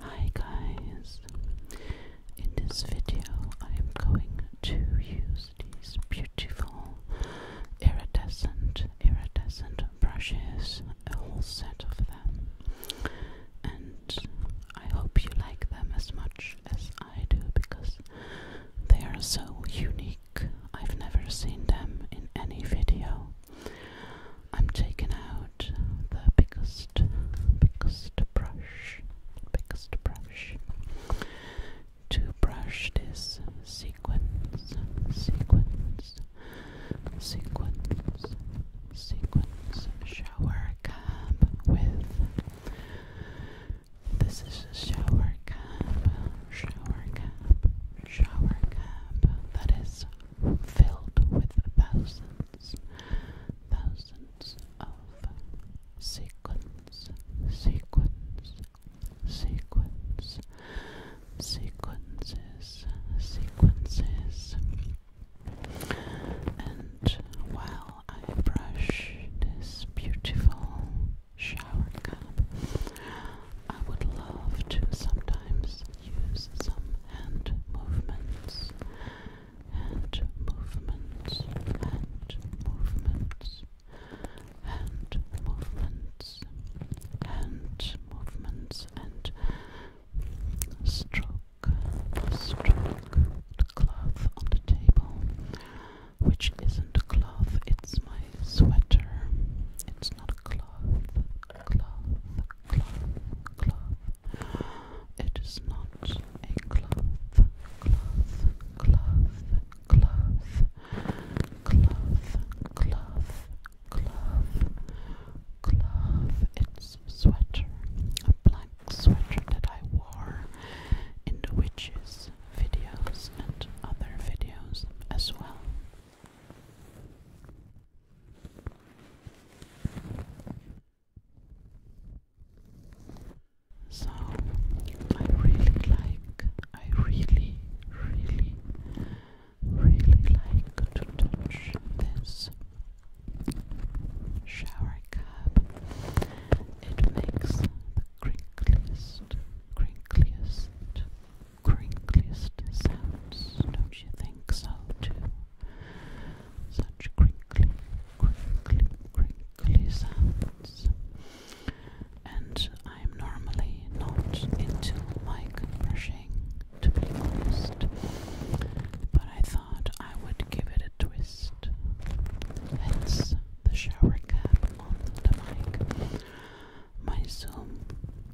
Hi guys, in this video I am going to use these beautiful iridescent, iridescent brushes, a whole set of them, and I hope you like them as much as I do because they are so unique. I've never seen them in any video. I'm taking out the biggest, biggest brush, biggest brush to brush this sequence, sequence, sequence, sequence shower cap with. This is a shower cap, shower cap, shower cap that is filled with thousands thousands of sequence, sequence, sequence, sequences, sequences. And while I brush this beautiful shower cup, I would love to sometimes use some hand movements, hand movements, hand movements, hand movements, hand movements, and stroke, stroke the cloth on the table, which isn't a cloth, it's my sweater. It's not a cloth, cloth, cloth, cloth. It is not a cloth, cloth, cloth, cloth, cloth, cloth, cloth, cloth. It's sweater, a black sweater that I wore in the witches videos and other videos as well. So I really like, I really, really, really like to touch this shower cap. It makes the crinkliest, crinkliest, crinkliest sounds, don't you think so too? such crinkly, crinkly, crinkly sounds. And I'm normally not into mic brushing, to be honest, but I thought I would give it a twist. Hence the shower cap on the mic. My Zoom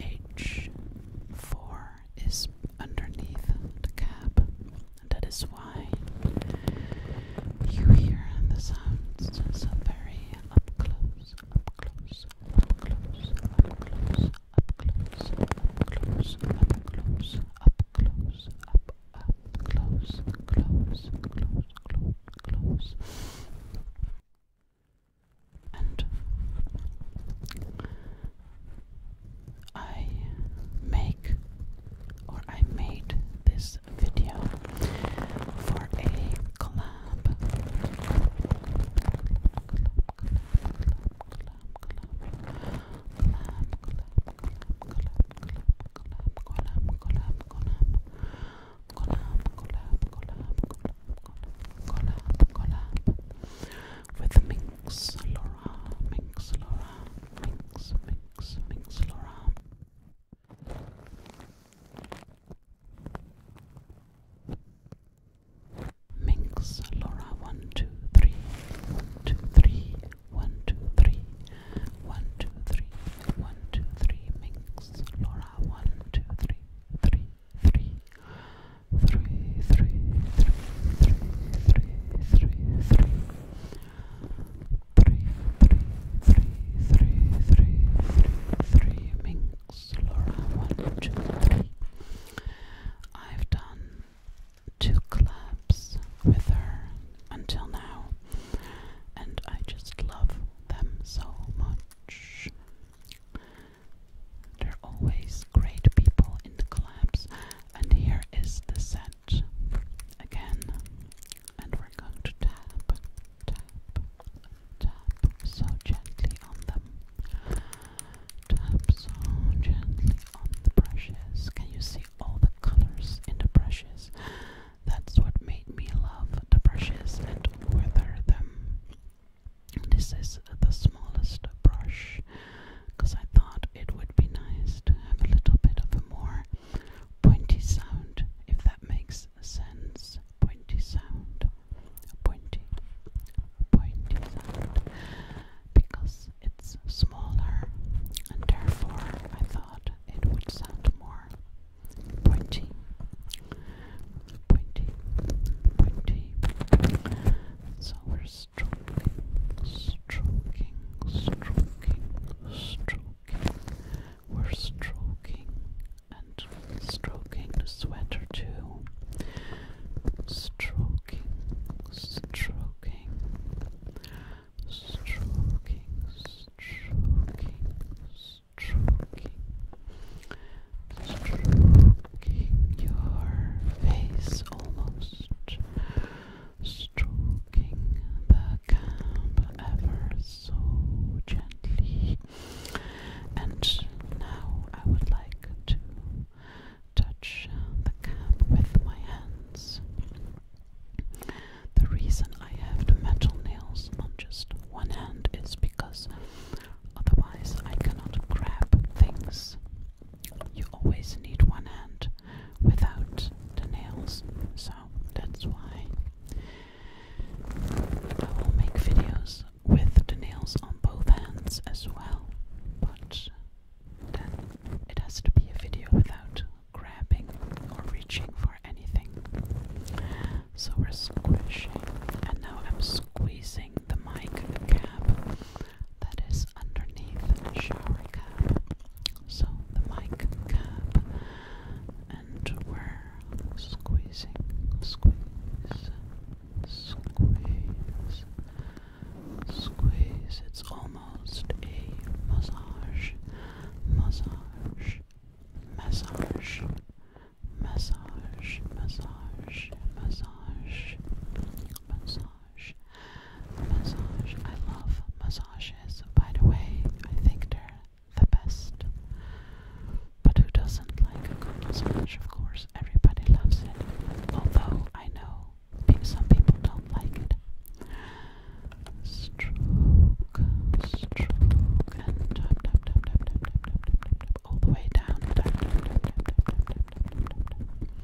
H4 is underneath the cab, that is why you hear the sounds so very up close, up close, up close, up close, up close, up close, up close, up, up close, close, close, close, close. And I make or I made this video for a collab with Minx Laura, Minx Laura, Minx, Minx, Minx Laura. Minx Laura one two three one two three one two three one two three one two three Minx Laura one two three three three three, three, three, three, three, three, three. Three, three, three, three, three, three, three. Minx, Laura, one, two, three. I've done two collabs with her until now, and I just love them so much. There are always great people in the clubs, and here is the set again. And we're going to tap, tap, tap so gently on them. Tap so gently on the brushes. Can you see all the colors in the brushes? That's what made me love the brushes and weather them. This is the smallest brush because I thought it would be nice to have a little bit of a more pointy sound, if that makes sense. Pointy sound, a pointy, pointy sound, because it's smaller and therefore I thought it would sound more pointy, pointy, pointy. So we stroking, stroking, stroking, stroking. We're stroking and stroking the sweater too. Stroking, stroking, stroking, stroking, stroking, stroking, stroking your face almost, stroking the calm ever so gently. And now I would like to touch the cap with my hands. The reason I have the metal nails on just one hand is because otherwise I cannot grab things you always need one hand without the nails, so that's why I will make videos with the nails on both hands as well, but then it has to be a video without grabbing or reaching for anything. So we're squishing, and now I'm squeezing the mic cap that is underneath the shower cap. So the mic cap, and we're squeezing, squeeze, squeeze, squeeze. It's almost a massage, massage, massage, massage, massage, massage, massage massage. Massage. I love massages, by the way. I think they're the best. But who doesn't like a good massage? Of course, everybody loves it. Although I know some people don't like it. Stroke, stroke, and tap, tap, tap, tap, tap, tap, tap, tap, tap, all the way down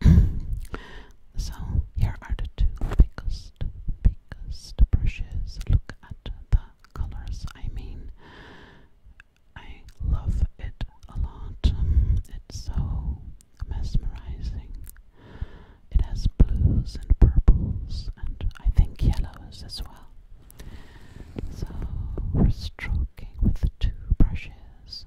so here are the two biggest, biggest brushes. Look at the colors. I mean, I love it a lot. It's so mesmerizing. It has blues and purples, and I think yellows as well. So we're stroking with the two brushes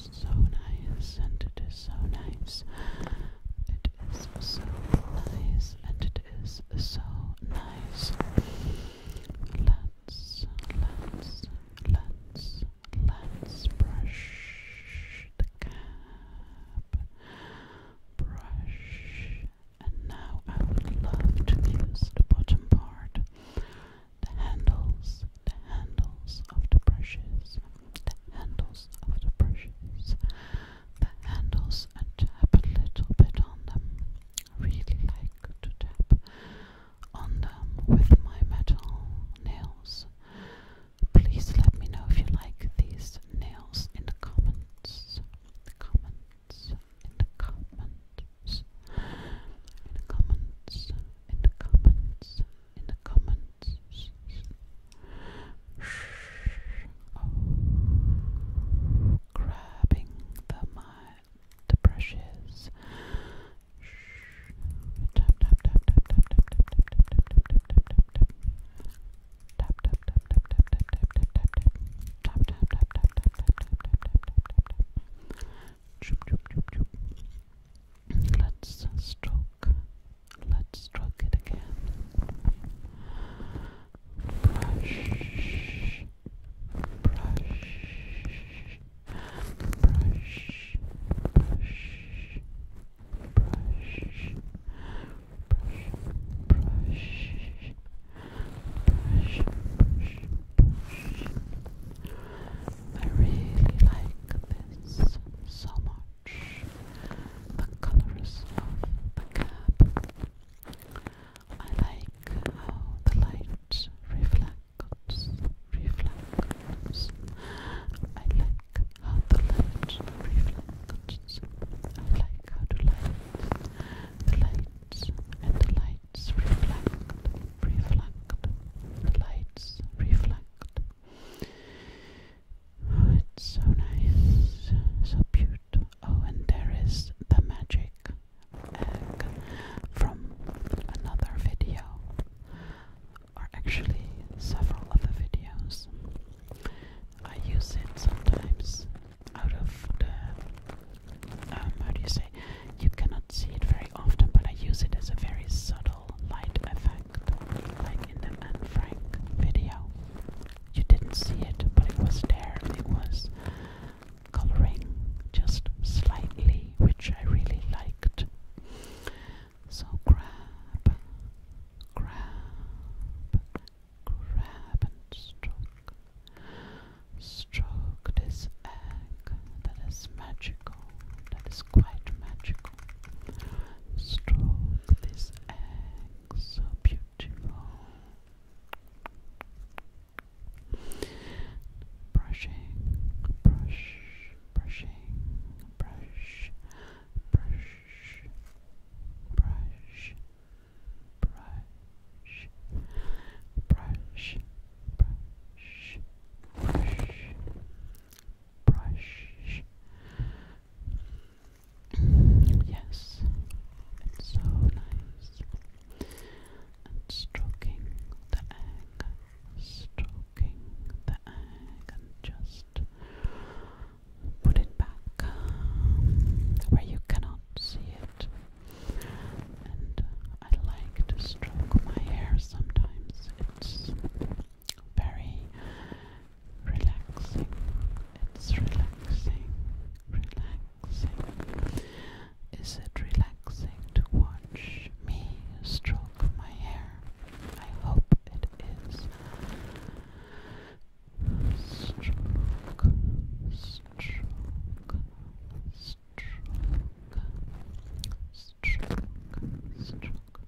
so nice, and it is so nice. It is so nice, and it is so nice. Let's, let's, let's, let's brush the cap. Brush. And now I would love to use the bottom part, the handles, the handles of the brushes, the handles of the brushes. The handles and tap a little bit on them. really like to tap on them with my metal nails. Please let me know if you like these nails in the comments. The comments. In the comments. In the comments. In the comments in the comments. Oh, grabbing the mind, the brushes. Tap tap tap tap tap tap tap tap tap tap tap tap tap tap tap. Tap tap tap tap tap tap tap tap tap tap. Tap tap tap tap tap tap tap tap tap tap tap. Let's stroke Let's stroke it again. Brush, brush, brush, brush. Brush, brush, brush, brush, brush, brush. I really like this so much the colors of the cab. I like how the light reflects, reflects. I like how the light reflects. I like how the light, the lights and the lights reflect, reflect. The lights reflect, Oh, it's so nice, so cute. Oh, and there is the magic egg from another video, or actually several other videos. I use it sometimes out of the um, how do you say? You cannot see it very often, but I use it as a very subtle light effect, like in the Anne video. You didn't see it, but it was there. It was coloring just slightly, which I really liked. So grab, grab, grab and stroke. Stroke this egg that is magical, that is quite magical. Stroke this egg so beautiful. Brushing, brush, brushing, brush, brush, brush, brush, brush, brush, brush, brush, brush. Yes, it's so nice. And stroking the egg, stroking the egg, and just put it back where you cannot see it. And I like to stroke my hair sometimes. It's very relaxing. It's relaxing, relaxing. Is it relaxing to watch me stroke my hair? I hope it is. Stroke, stroke, stroke, stroke, stroke.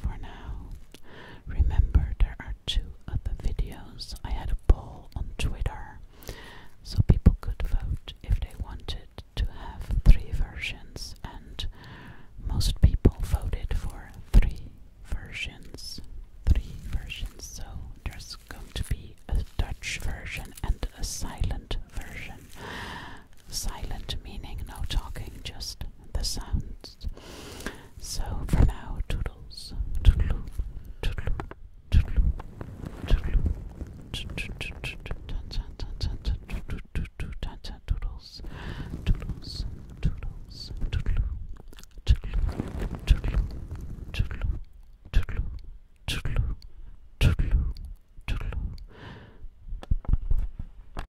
for now. Remember, there are two other videos. I had a poll on Twitter so people could vote if they wanted to have three versions, and most people voted for three versions. Three versions, so there's going to be a Dutch version and a silent version silent meaning no talking, just the sounds. So for now, toodles, toodaloo, toodaloo, toodaloo, toodaloo, toodles, toodles, toodles, toodaloo, toodaloo, toodaloo, toodaloo, toodaloo, toodaloo, toodaloo, toodaloo.